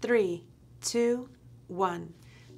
Three, two, one.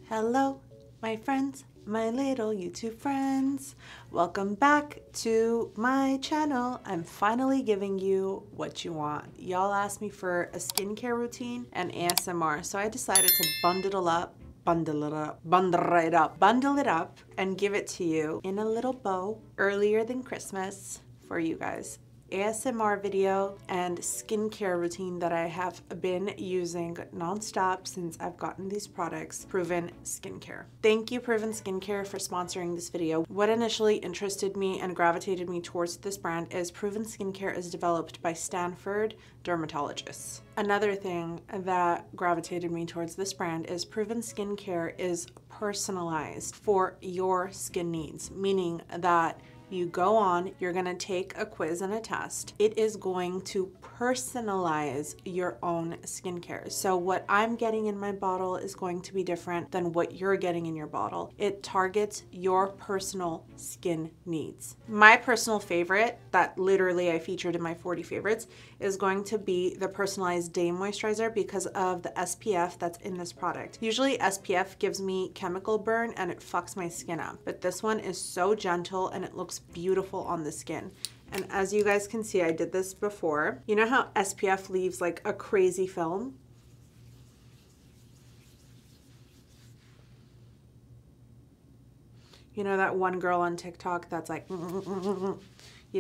Hello, my friends, my little YouTube friends. Welcome back to my channel. I'm finally giving you what you want. Y'all asked me for a skincare routine and ASMR, so I decided to bundle it up bundle it up, bundle it up, bundle it up and give it to you in a little bow earlier than Christmas for you guys. ASMR video and skincare routine that I have been using nonstop since I've gotten these products, Proven Skincare. Thank you Proven Skincare for sponsoring this video. What initially interested me and gravitated me towards this brand is Proven Skincare is developed by Stanford dermatologists. Another thing that gravitated me towards this brand is Proven Skincare is personalized for your skin needs, meaning that you go on, you're gonna take a quiz and a test. It is going to personalize your own skincare. So what I'm getting in my bottle is going to be different than what you're getting in your bottle. It targets your personal skin needs. My personal favorite that literally I featured in my 40 favorites is going to be the personalized day moisturizer because of the SPF that's in this product. Usually SPF gives me chemical burn and it fucks my skin up, but this one is so gentle and it looks beautiful on the skin. And as you guys can see, I did this before. You know how SPF leaves like a crazy film? You know that one girl on TikTok that's like, you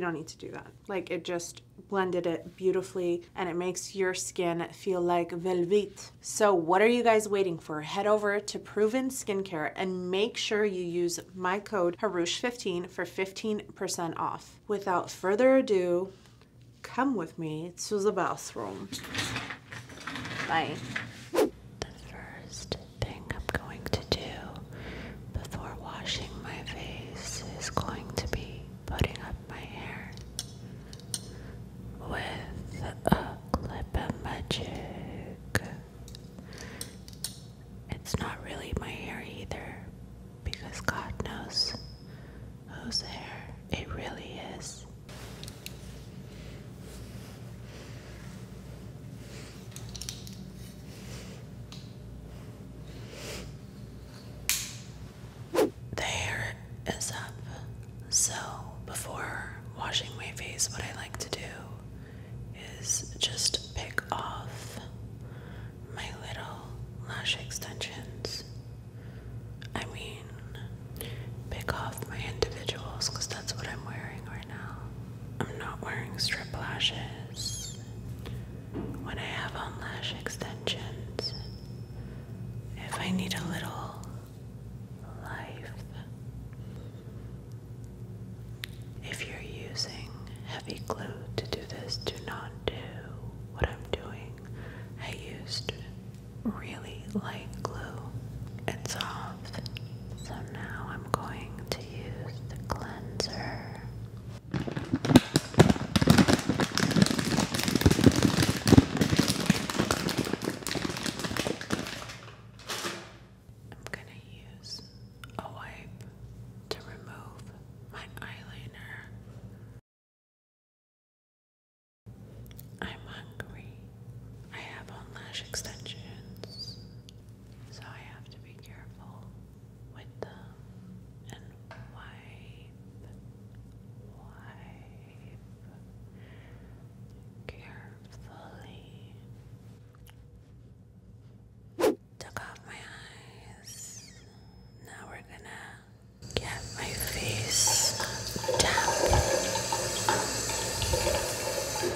don't need to do that. Like it just blended it beautifully and it makes your skin feel like velvet. So what are you guys waiting for? Head over to Proven Skincare and make sure you use my code Harush 15 for 15% off. Without further ado, come with me to the bathroom. Bye. The first thing I'm going to do before washing my face is going to be putting up my hair with a clip of magic. It's not really my hair either, because God knows whose hair it really is. The hair is up. So, before washing my face, what I like to do is just pick off my little lash extensions. I mean, pick off my individuals because that's what I'm wearing right now. I'm not wearing strip lashes when I have on extensions, if I need a little life. If you're using heavy glue to do this, do not do what I'm doing. I used really light glue. It's soft, So now I'm going to use the cleanser. I'm going to use a wipe to remove my eyeliner. I'm hungry. I have on lash extensions. So I have to be careful with the and wipe, wipe carefully. Took off my eyes. Now we're gonna get my face tapped.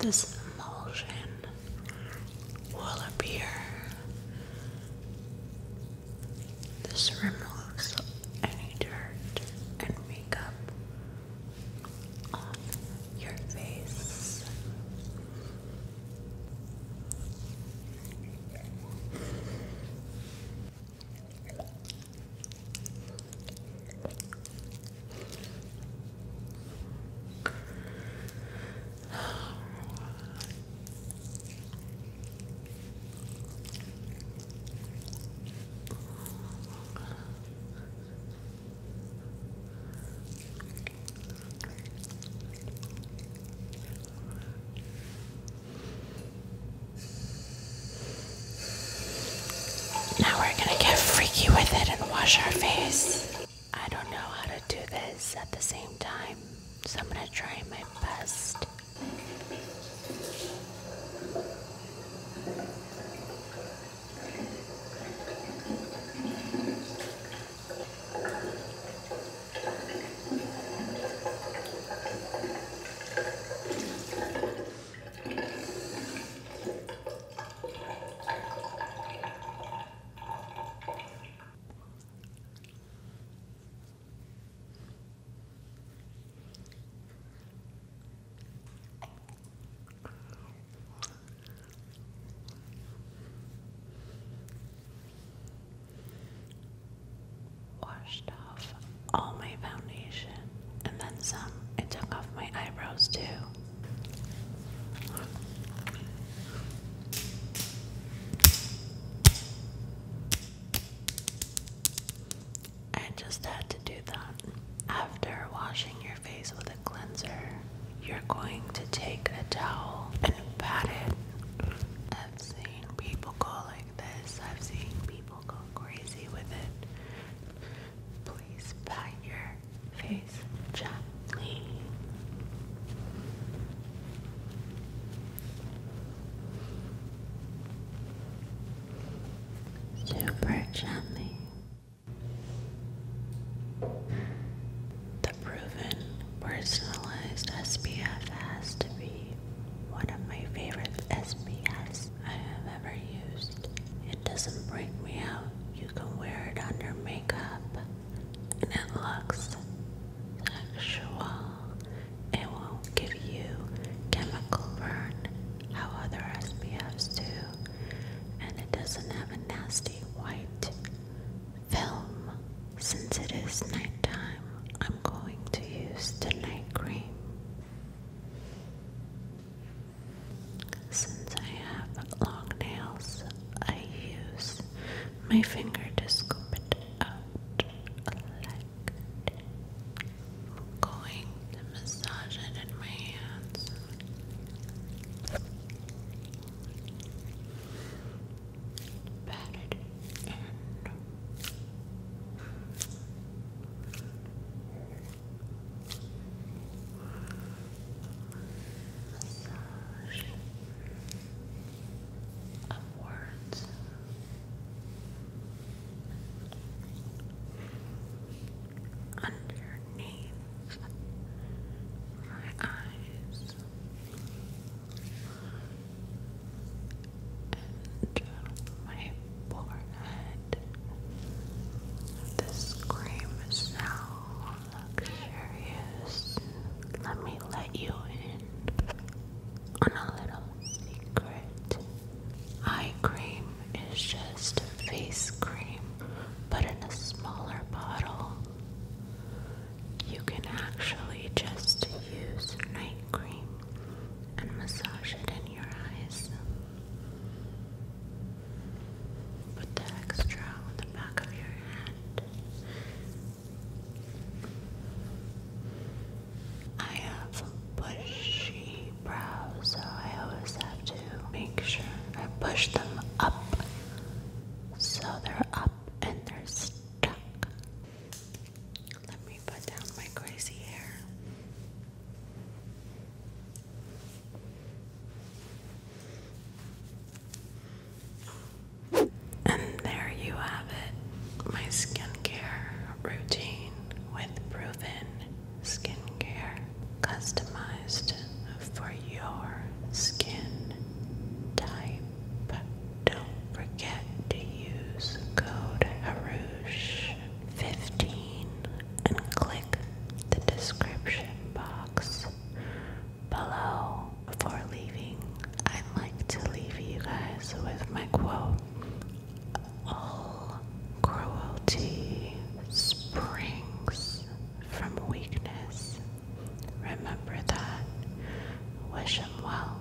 This emulsion will appear this removes any dirt and makeup off your face. Now we're going to get freaky with it and wash our face. I don't know how to do this at the same time. So I'm going to try my best. Washed off all my foundation and then some. I took off my eyebrows too. I just had to do that. After washing your face with a cleanser, you're going to take a towel and pat it. I've seen people go this, I've seen people go crazy with it. Please pat your face gently. Super gently. The proven personalized SPF has to be one of my favorite SPFs I have ever used. It doesn't break me out. You can wear it under makeup and it looks sexual. It won't give you chemical burn, how other SPFs do, and it doesn't have a nasty white film. Since it is nighttime, I'm going to use the night cream. Since I have long nails, I use my finger to scoop it out like going to massage it in my hands. Pat it Massage upwards. Underneath my eyes and my forehead this cream is so luxurious. Let me let you in on a little secret. Eye cream is just face cream, but in a smaller bottle. You can actually just use night cream and massage it in your eyes. Put the extra on the back of your hand. I have bushy brows, so I always have to make sure I push them up so they're up and they're stuck. Let me put down my crazy hair. And there you have it, my skincare routine with proven skincare customized for your skin type. Don't forget to use code Harouche15 and click the description box below. Before leaving, I'd like to leave you guys with my quote All cruelty springs from weakness. Remember that. Wish him well.